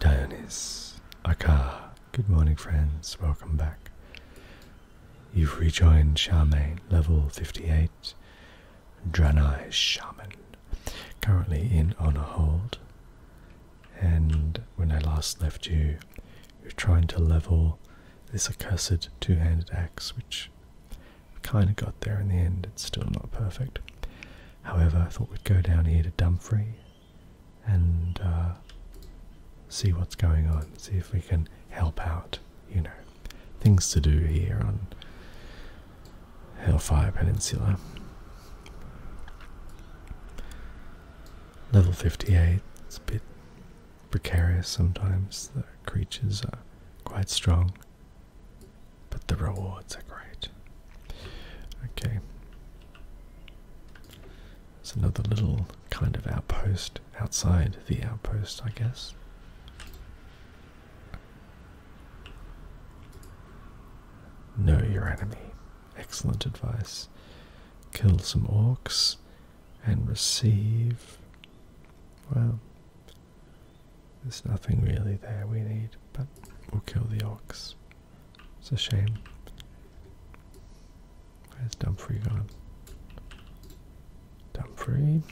Dionys, Akka. good morning, friends, welcome back. You've rejoined Shaman, level 58, Draenei Shaman, currently in on a Hold. And when I last left you, you're trying to level this accursed two handed axe, which kind of got there in the end, it's still not perfect. However, I thought we'd go down here to Dumfrey and uh, see what's going on, see if we can help out, you know, things to do here on Hellfire Peninsula. Level 58, it's a bit precarious sometimes, the creatures are quite strong but the rewards are great. Okay. It's another little kind of outpost outside the outpost, I guess. Know your enemy. Excellent advice. Kill some orcs and receive. Well, there's nothing really there we need, but we'll kill the orcs. It's a shame. Where's Dumfrey gone? Dumfrey.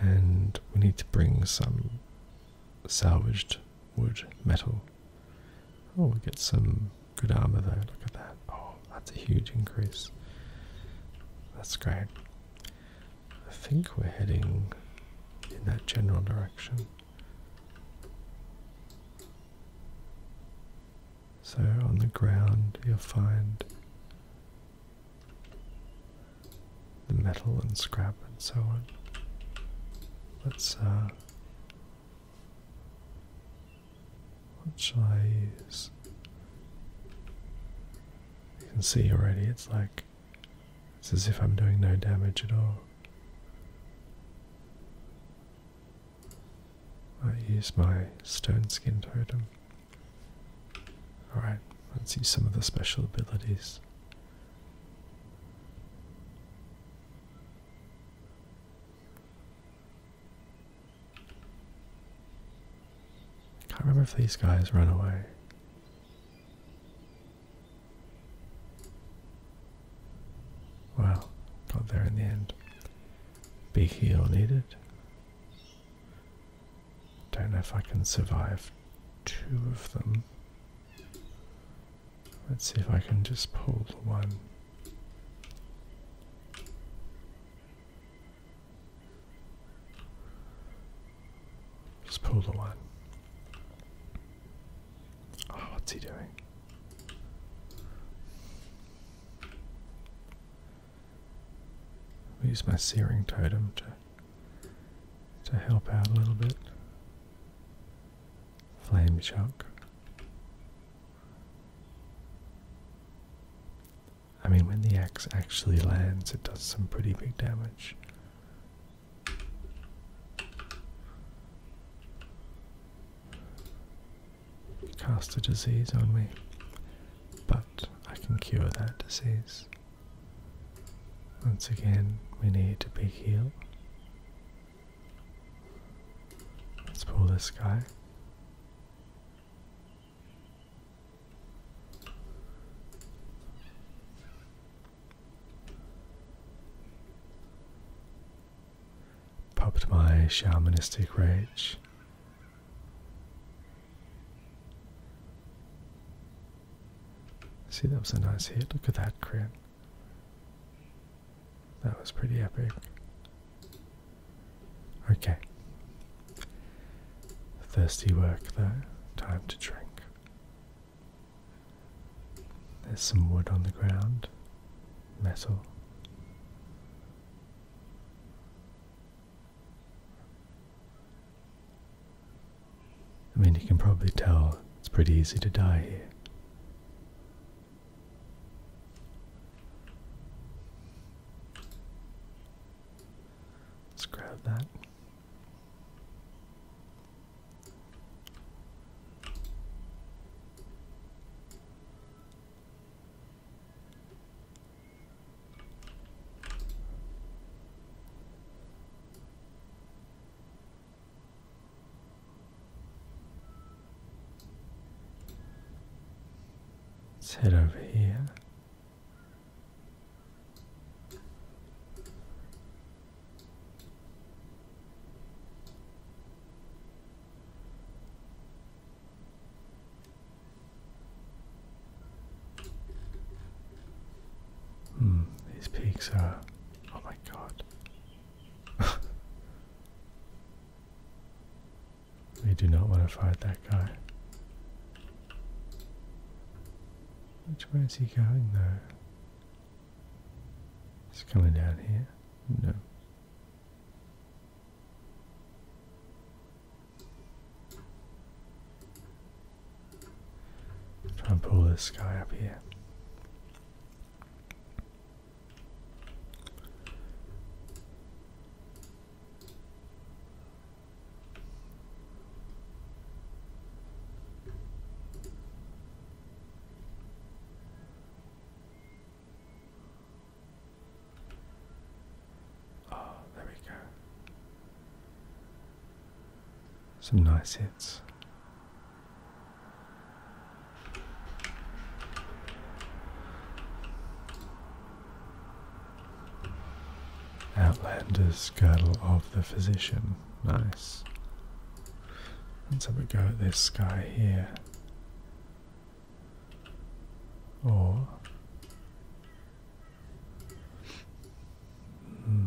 And we need to bring some salvaged wood metal. Oh, we get some good armor though. Look at that. Oh, that's a huge increase. That's great. I think we're heading in that general direction. So on the ground you'll find the metal and scrap and so on. Let's uh, what shall I use? You can see already it's like it's as if I'm doing no damage at all. I use my stone skin totem. Alright, let's use some of the special abilities. Can't remember if these guys run away. Well, got there in the end. Big need it. Don't know if I can survive two of them. Let's see if I can just pull the one. Just pull the one. Oh, what's he doing? use my searing totem to to help out a little bit. Flame shock. I mean, when the axe actually lands, it does some pretty big damage. Cast a disease on me, but I can cure that disease. Once again, we need to be healed. Let's pull this guy. Popped my shamanistic rage. See, that was a nice hit. Look at that crit. That was pretty epic. Okay. Thirsty work, though. Time to drink. There's some wood on the ground, metal. I mean, you can probably tell it's pretty easy to die here. Let's grab that. Let's head over here. Hmm, these peaks are. Oh my god. we do not want to fight that guy. Which way is he going though? It's coming down here. No. Try and pull this guy up here. Oh, there we go. Some nice hits. Outlander's girdle of the physician nice. Let's have a go at this guy here. Or. Hmm.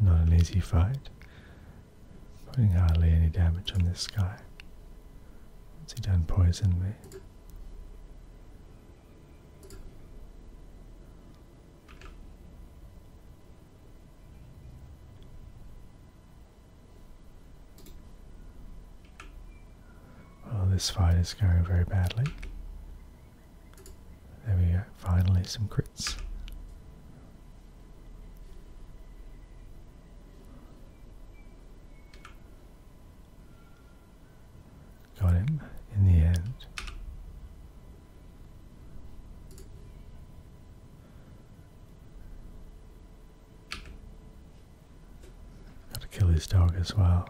Not an easy fight, putting hardly any damage on this guy. Once he done poison me. Well, this fight is going very badly. There we go, finally some crits. Got him in the end. Got to kill his dog as well.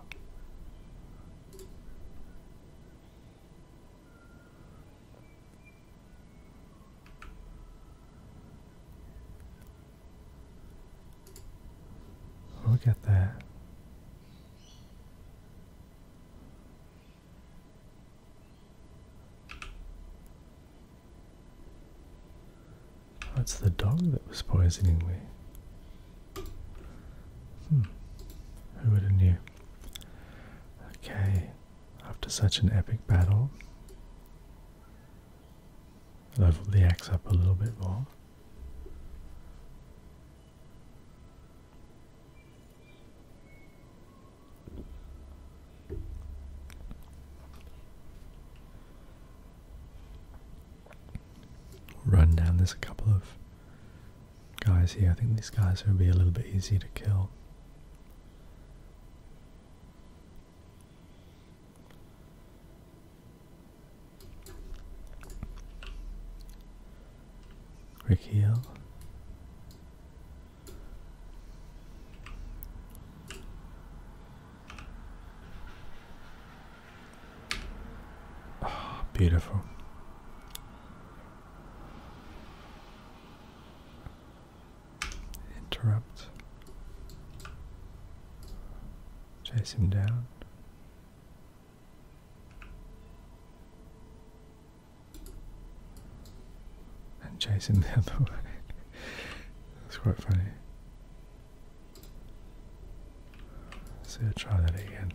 Look at that. That's the dog that was poisoning me. Hmm. Who would have knew? Okay, after such an epic battle, level the axe up a little bit more run down. There's a couple of guys here. I think these guys will be a little bit easier to kill. Rick Rickiel. beautiful. Interrupt. Chase him down. And chase him the other way. That's quite funny. Let's see, try that again.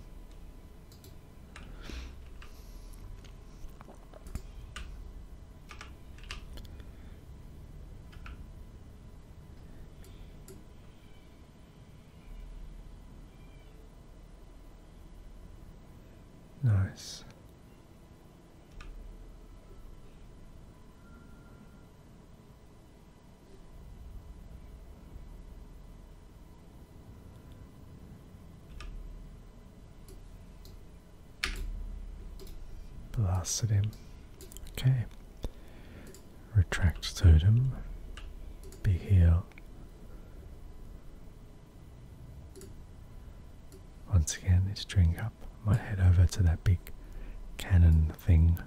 Nice. Blasted him. Okay. Retract totem. Be heal. Once again, it's drink up. Might head over to that big cannon thing.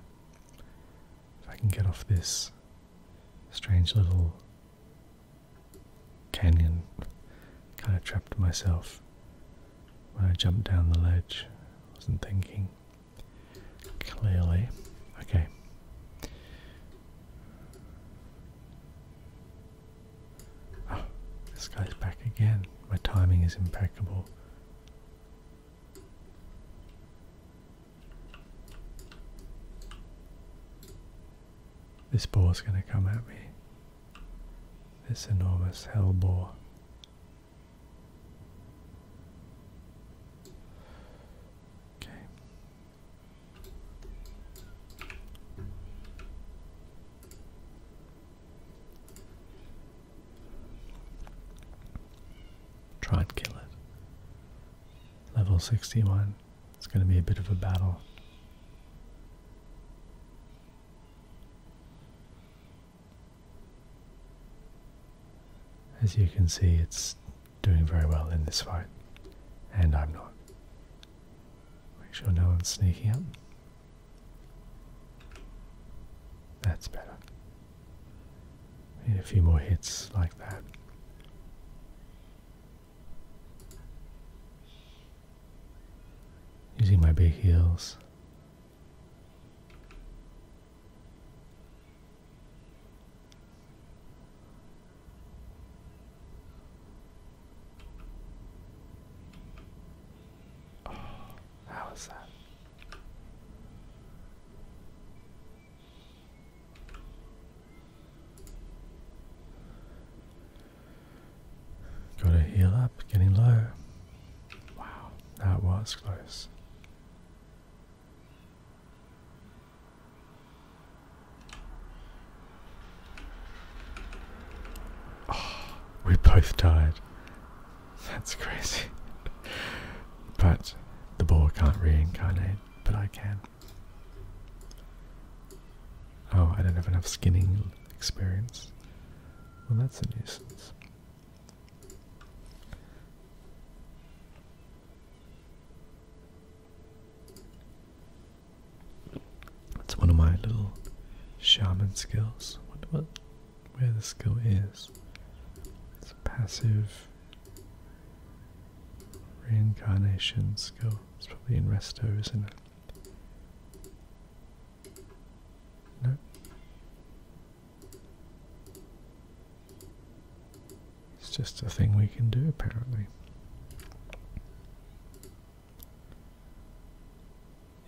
If I can get off this strange little canyon. Kind of trapped myself when I jumped down the ledge. Wasn't thinking clearly. Okay. Ah, this guy's back again. My timing is impeccable. This is going to come at me. This enormous hell boar. Okay. Try and kill it. Level 61. It's going to be a bit of a battle. As you can see, it's doing very well in this fight, and I'm not. Make sure no one's sneaking up. That's better. Need a few more hits like that. Using my big heels. Oh, how was that? Gotta heal up, getting low. Wow, that was close. Oh, we both died. That's crazy. but the ball can't reincarnate but I can. Oh, I don't have enough skinning experience. Well, that's a nuisance. That's one of my little shaman skills. Wonder what, where the skill is. It's passive Reincarnation skill. It's probably in resto, isn't it? No. It's just a thing we can do, apparently.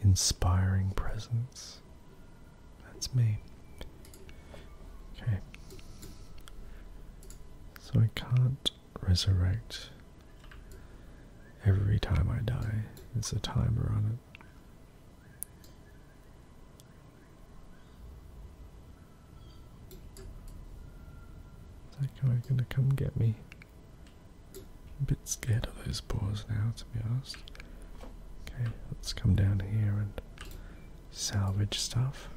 Inspiring presence. That's me. Okay. So I can't resurrect every time I die. There's a timer on it. Is that guy gonna come get me? a bit scared of those boars now, to be honest. Okay, let's come down here and salvage stuff.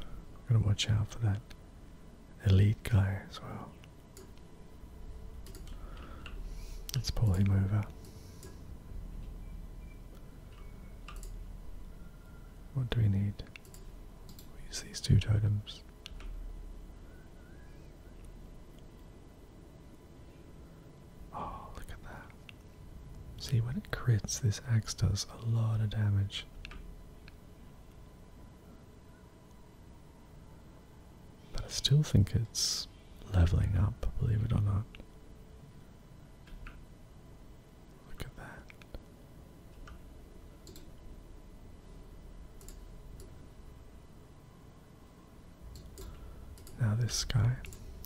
Gotta watch out for that elite guy as well. Let's pull him over. What do we need? use these two totems. Oh, look at that. See, when it crits, this axe does a lot of damage. But I still think it's leveling up, believe it or not. Look at that. Now this guy,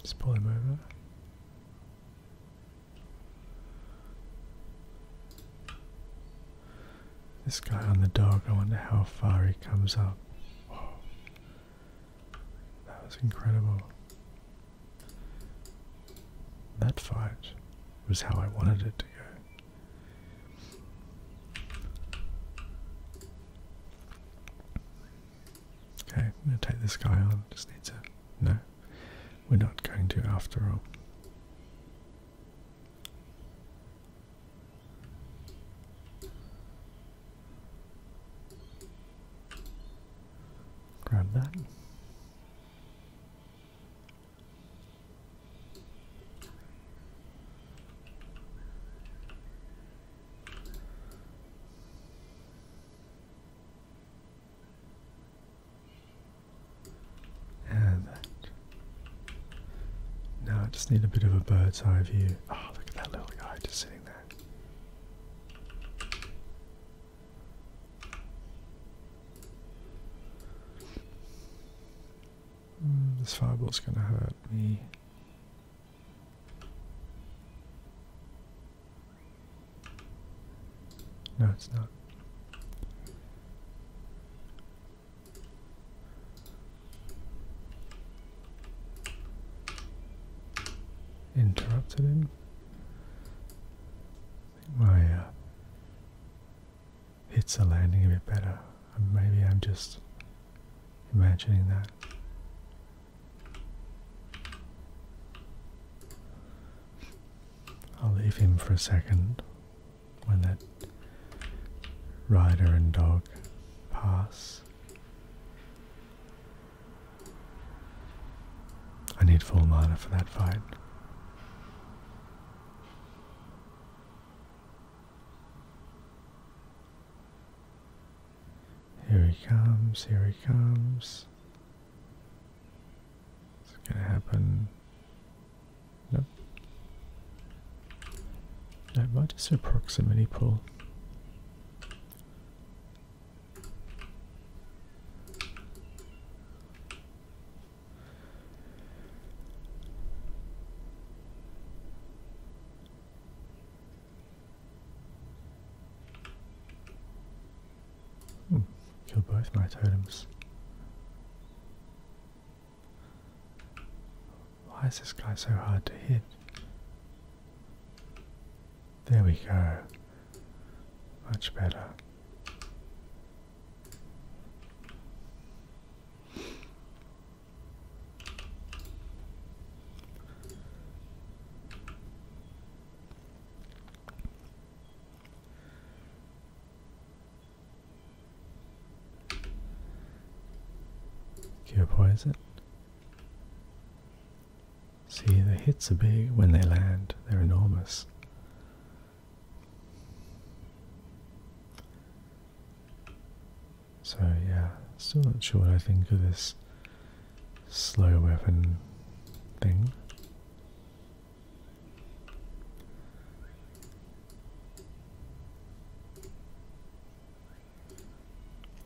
just pull him over. This guy on the dog, I wonder how far he comes up. That was incredible. That fight was how I wanted it to go. Okay, I'm gonna take this guy on. Just need to. No, we're not going to after all. Grab that. And Now I just need a bit of a bird's eye view. Oh, look at that little guy just sitting there. Hmm, this fireball's gonna hurt me. No, it's not. Interrupted him. I think my uh, hits are landing a bit better. Maybe I'm just imagining that. I'll leave him for a second when that rider and dog pass. I need full mana for that fight. Here he comes, here he comes. Is it gonna happen? Nope. No, what is a proximity pull? kill both my totems. Why is this guy so hard to hit? There we go. Much better. Cure poison. See, the hits are big when they land, they're enormous. So, yeah, still not sure what I think of this slow weapon thing.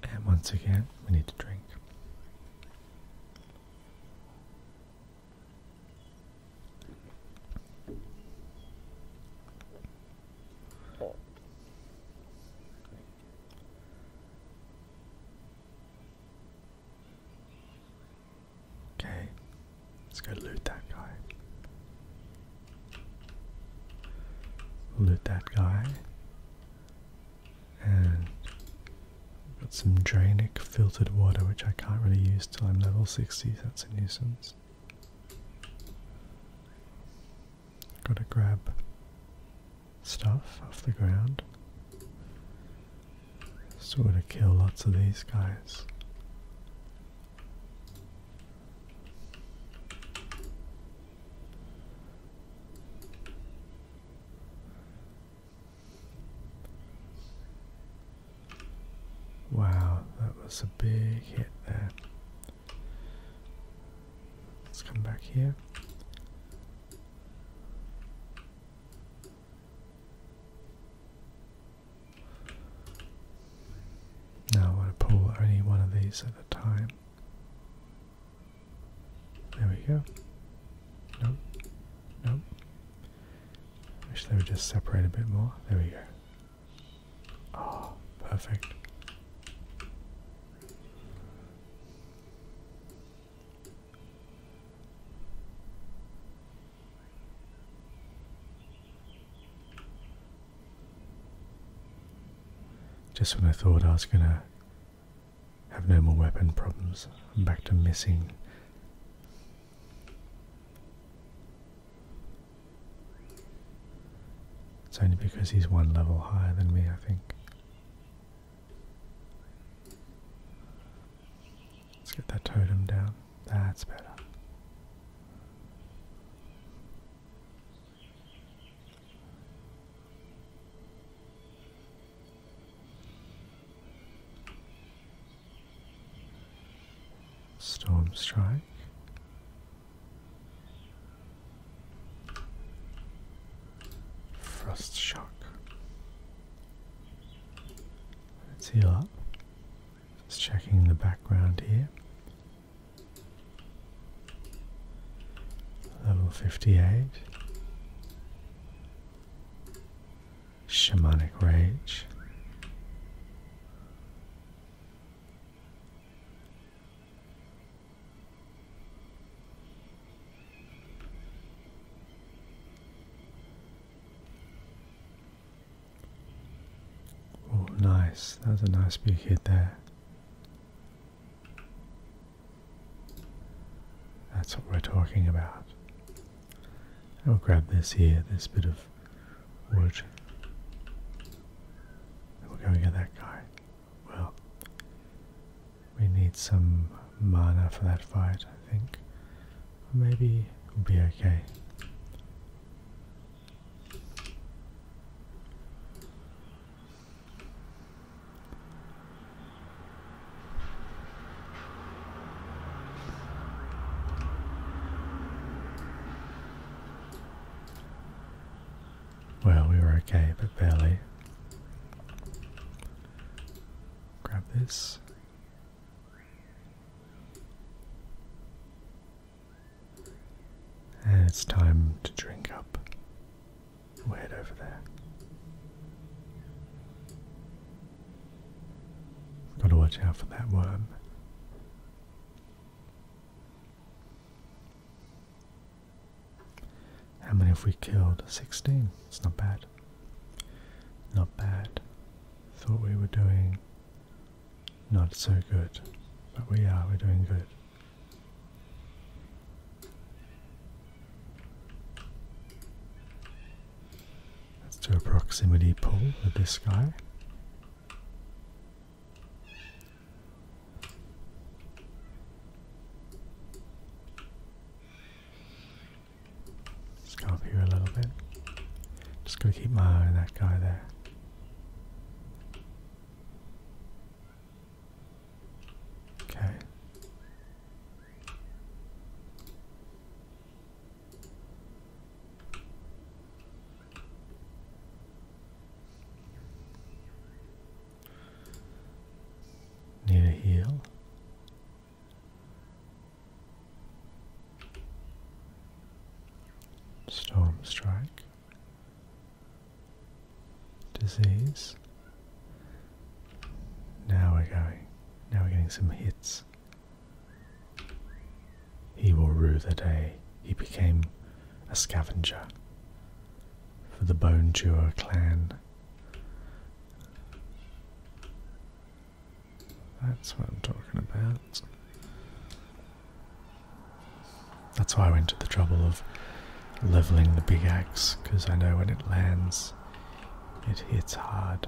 And once again, we need to drink. Okay, let's go loot that guy. Loot that guy. And got some Drainic filtered water, which I can't really use till I'm level 60, that's a nuisance. Gotta grab stuff off the ground. Just want to kill lots of these guys. Wow, that was a big hit there. Let's come back here. Now I want to pull only one of these at a time. There we go. Nope. Nope. Wish they would just separate a bit more. There we go. Oh, perfect. Just when I thought I was going to have no more weapon problems, I'm back to missing. It's only because he's one level higher than me, I think. Let's get that totem down. That's better. Storm strike. Frost shock. Let's heal up. Just checking the background here. Level 58. Shamanic Rage. Oh, nice. That's a nice big hit there. That's what we're talking about. I'll grab this here, this bit of wood. And we'll go and get that guy. Well, we need some mana for that fight, I think. Maybe we'll be okay. Well, we were okay, but barely. Grab this. And it's time to drink up. we head over there. Gotta watch out for that worm. How many have we killed? 16. It's not bad. Not bad. Thought we were doing not so good. But we are, we're doing good. Let's do a proximity pull with this guy. Just us go up here a little bit. Just going to keep my eye on that guy there. Okay. Need a heal. Storm Strike, Disease. Now we're going, now we're getting some hits. He will rue the day he became a scavenger for the Bone Chewer clan. That's what I'm talking about. That's why I went to the trouble of leveling the big axe, because I know when it lands, it hits hard.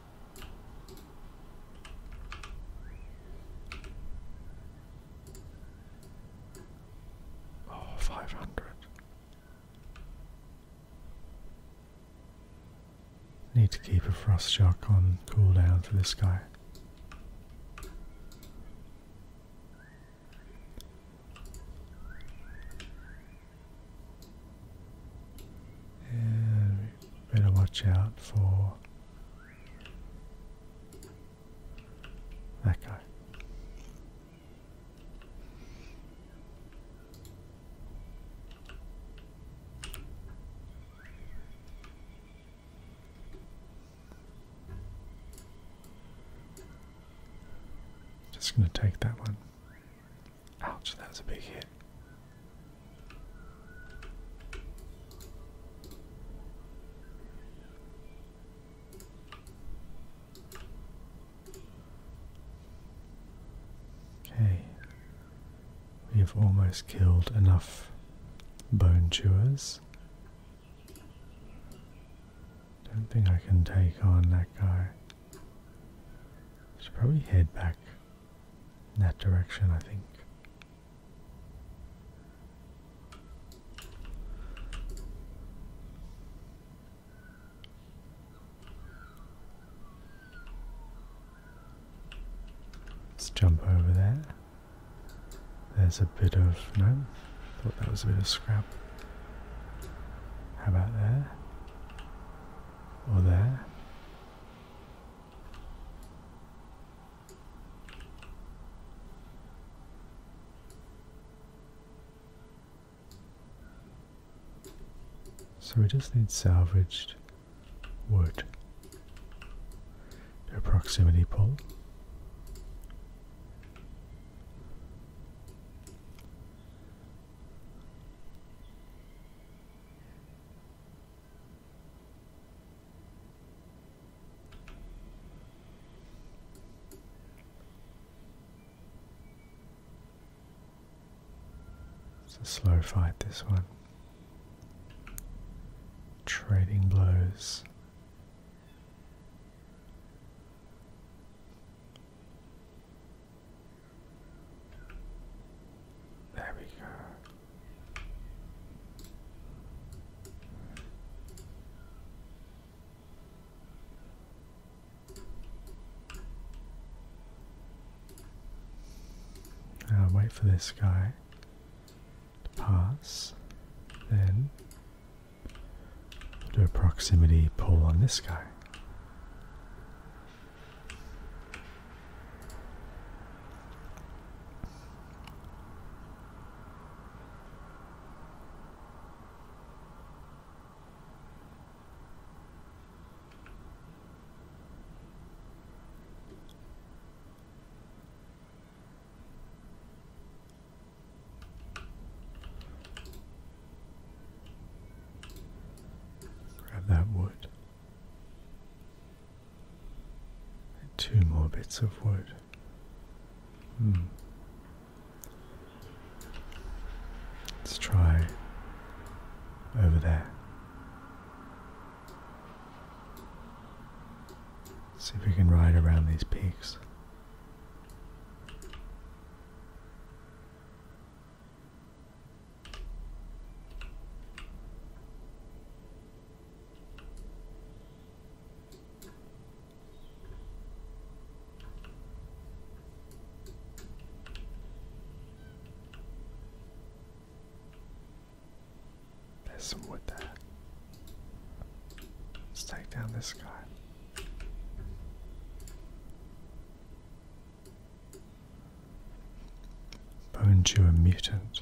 Oh, five hundred. Need to keep a frost shock on cool down for this guy. There better watch out for that guy. Just going to take that one. Ouch, that was a big hit. Okay, we've almost killed enough bone chewers. Don't think I can take on that guy. Should probably head back in that direction, I think. Let's jump over there. There's a bit of no, thought that was a bit of scrap. How about there? Or there? So we just need salvaged wood. a proximity pull. It's a slow fight, this one. Trading blows. There we go wait for this guy to pass, then do a proximity pull on this guy. Grab that wood. Two more bits of wood. Hmm. Let's try over there. See if we can ride around these peaks. There's some wood there. Let's take down this guy. Bones, to a mutant.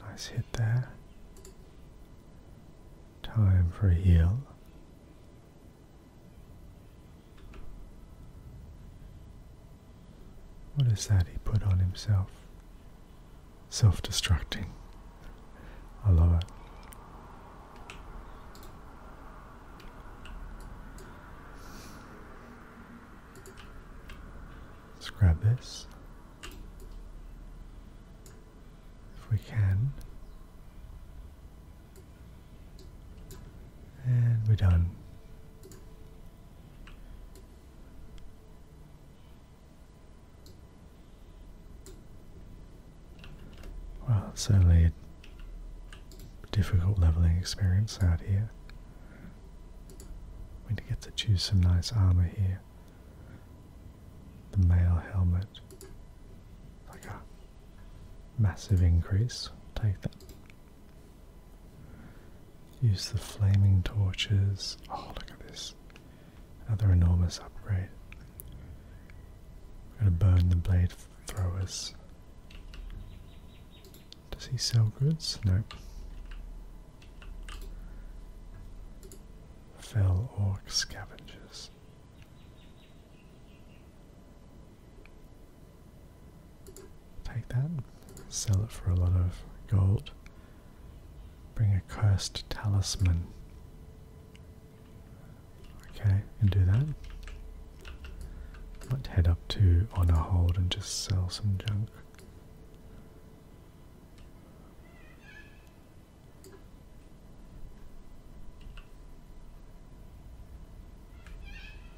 Nice hit there. Time for a heal. What is that he put on himself? self destructing. I love it. Let's grab this. If we can. And we're done. Well, it's certainly a difficult leveling experience out here. We get to choose some nice armor here. The mail helmet. Like a massive increase. Take that. Use the flaming torches. Oh, look at this. Another enormous upgrade. We're going to burn the blade throwers. Does he sell goods? No. Fell orc scavengers. Take that, sell it for a lot of gold. Bring a cursed talisman. Okay, can do that. Might head up to on a hold and just sell some junk.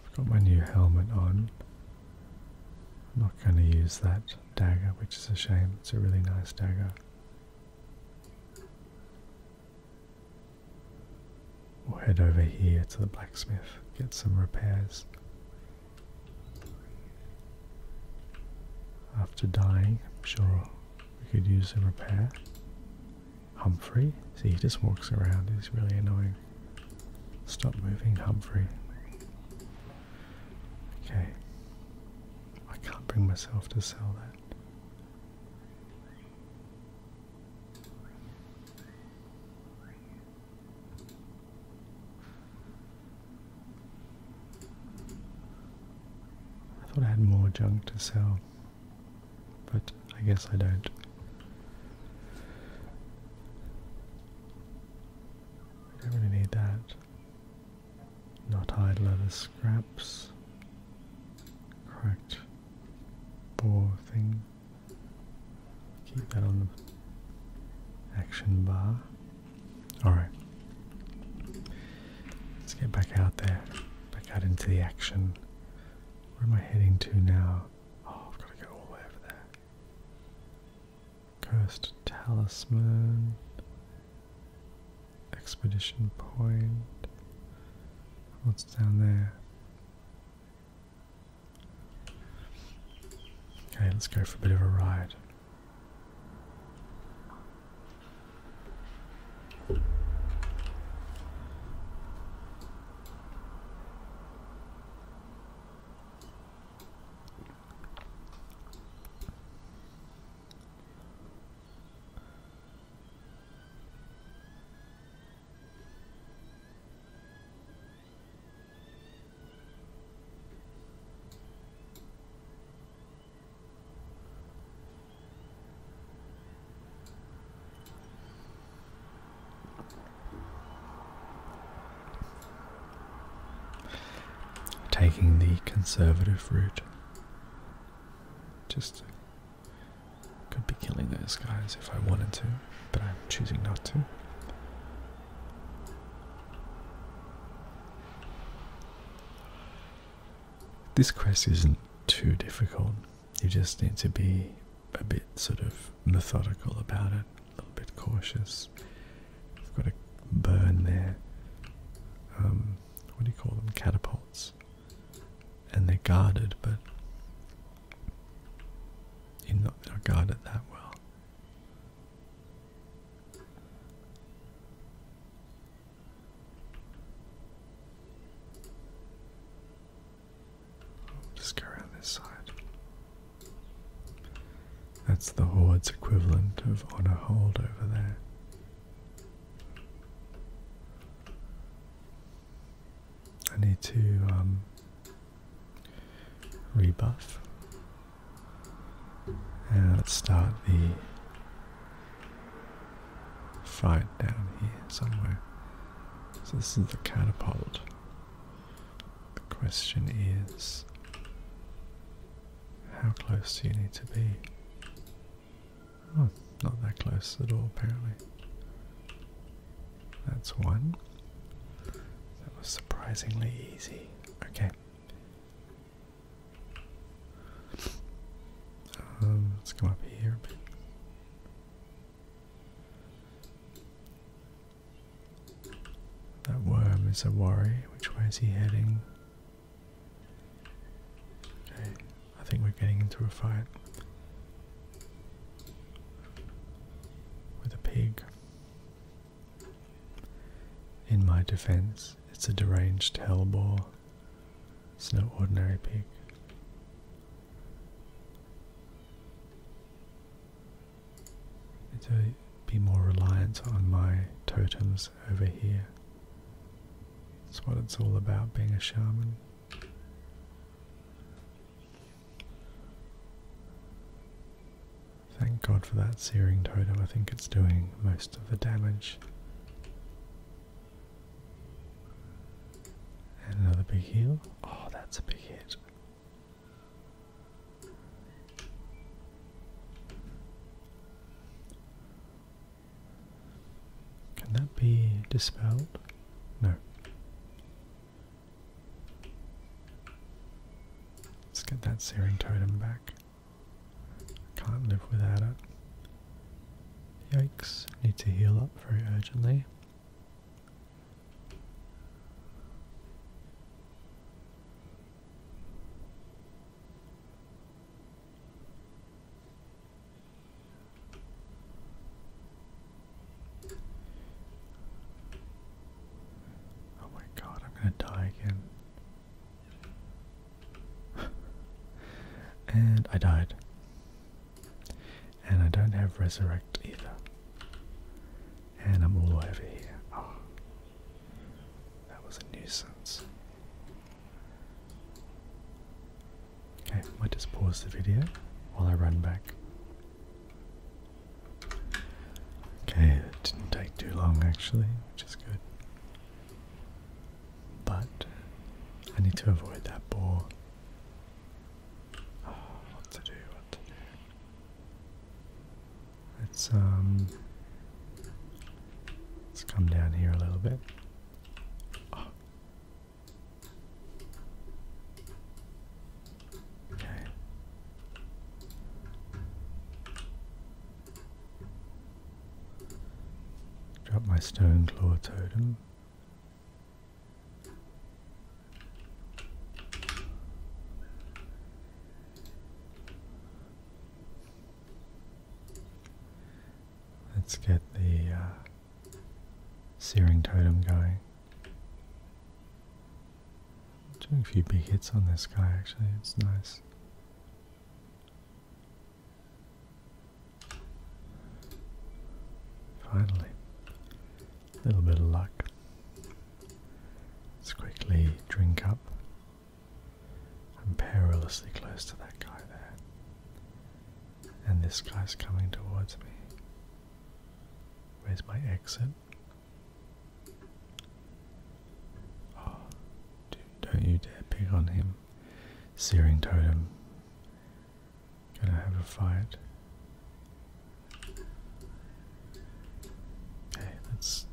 I've got my new helmet on. I'm not going to use that dagger, which is a shame. It's a really nice dagger. We'll head over here to the blacksmith, get some repairs. After dying, I'm sure we could use a repair. Humphrey? See, he just walks around, he's really annoying. Stop moving, Humphrey. Okay. I can't bring myself to sell that. I thought I had more junk to sell, but I guess I don't. I don't really need that. Not hide leather scraps. Cracked poor thing. Keep that on the action bar. Alright. Let's get back out there. Back out into the action. Where am I heading to now? Oh, I've got to go all the way over there. Cursed talisman. Expedition Point. What's down there? Okay, let's go for a bit of a ride. Taking the conservative route just could be killing those guys if I wanted to, but I'm choosing not to. This quest isn't too difficult. You just need to be a bit sort of methodical about it, a little bit cautious. I've got a burn there. Um, what do you call them? Catapults. And they're guarded, but you're not they're guarded that well. just go around this side. That's the Horde's equivalent of Honor Hold over there. I need to um, rebuff. And let's start the fight down here somewhere. So this is the catapult. The question is how close do you need to be? Oh, not that close at all, apparently. That's one. That was surprisingly easy. Okay. Um, let's go up here That worm is a worry. Which way is he heading? Okay, I think we're getting into a fight with a pig. In my defense, it's a deranged hellbore. It's no ordinary pig. it be more reliant on my totems over here. It's what it's all about being a shaman. Thank God for that searing totem, I think it's doing most of the damage. another big heal. Oh, that's a big hit. Can that be dispelled? No. Let's get that searing totem back. Can't live without it. Yikes, need to heal up very urgently. Oh my god, I'm gonna die again. and I died. And I don't have resurrect either. And I'm all over here. Ah. That was a nuisance. Okay, I might just pause the video while I run back. Okay, it didn't take too long actually, which is good. But I need to avoid that ball. Ah, what to do, what to do. Let's um let's come down here a little bit. Okay. Drop my stone claw totem. Let's get the uh, Searing Totem going. Doing a few big hits on this guy actually, it's nice. Finally, a little bit of luck. Let's quickly drink up I'm perilously close to that guy there. And this guy's coming towards me. Where's my exit? Oh, don't you dare pick on him. Searing totem. Gonna have a fight. Okay, let's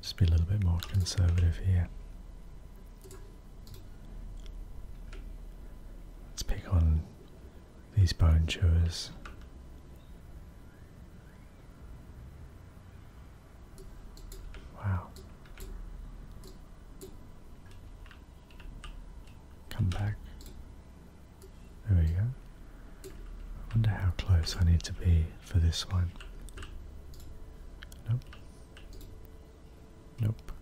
just be a little bit more conservative here. Let's pick on these bone chewers. Wow. Come back. There we go. wonder how close I need to be for this one. Nope. Nope.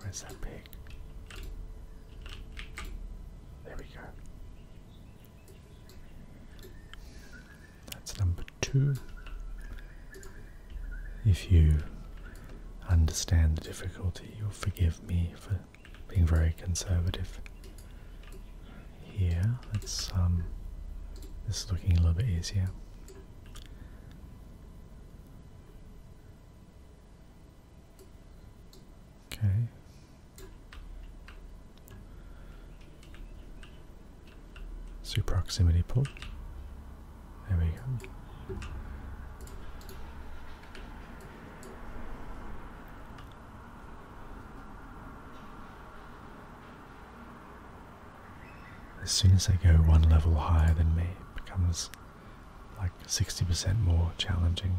Where's that pig? There we go. That's number two. If you understand the difficulty, you'll forgive me for being very conservative here. Let's um this is looking a little bit easier. Okay. Super proximity pull. There we go. As soon as they go one level higher than me, it becomes like 60% more challenging.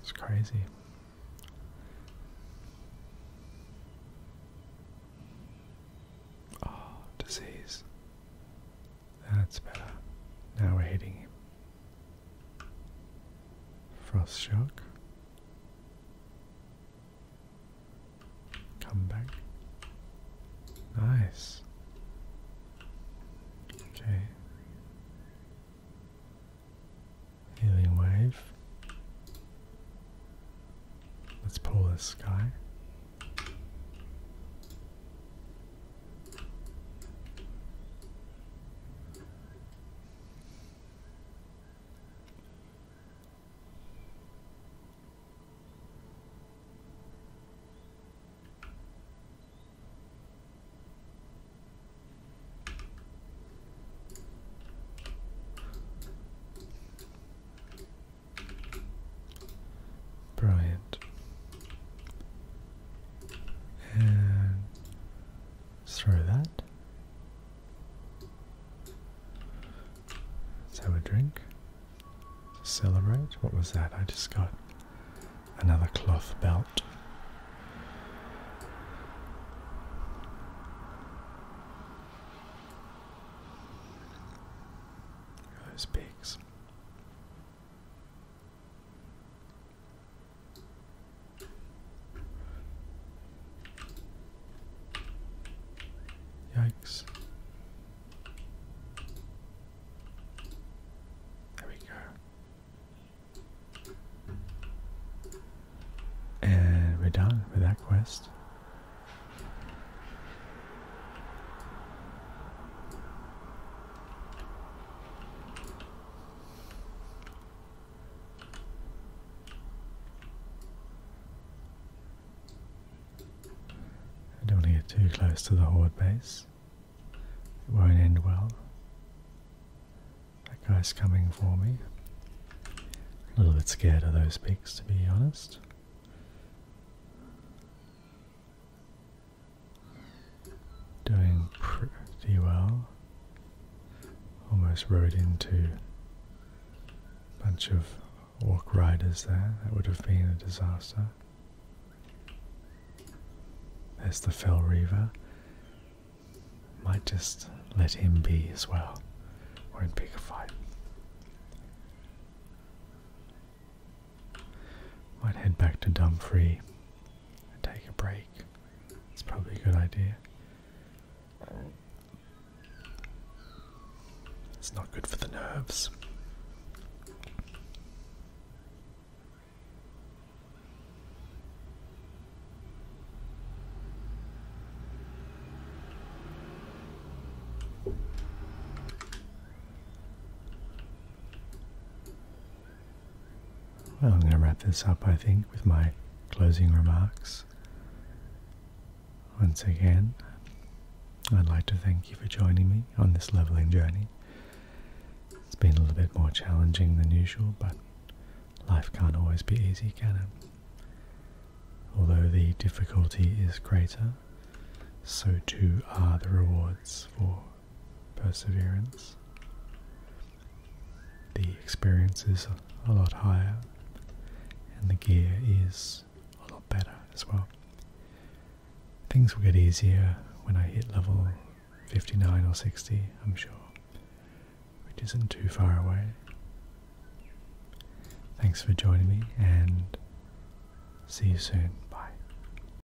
It's crazy. Oh, disease. That's better. Now we're hitting him. Frost shock. Come back. Nice. Okay. Healing wave. Let's pull this guy. Brilliant and throw that. So us a drink. Celebrate. What was that? I just got another cloth belt. Those pigs. Yikes. There we go. And we're done with that quest. I don't want to get too close to the horde base. It won't end well. That guy's coming for me. A little bit scared of those pigs, to be honest. Doing pretty well. Almost rode into a bunch of walk riders there. That would have been a disaster. There's the Fell Reaver. Might just let him be as well. Won't pick a fight. Might head back to Dumfries and take a break. It's probably a good idea. It's not good for the nerves. Well, I'm going to wrap this up, I think, with my closing remarks. Once again, I'd like to thank you for joining me on this leveling journey. It's been a little bit more challenging than usual, but life can't always be easy, can it? Although the difficulty is greater, so too are the rewards for perseverance. The experience is a lot higher, and the gear is a lot better as well. Things will get easier when I hit level 59 or 60, I'm sure, which isn't too far away. Thanks for joining me, and see you soon. Bye.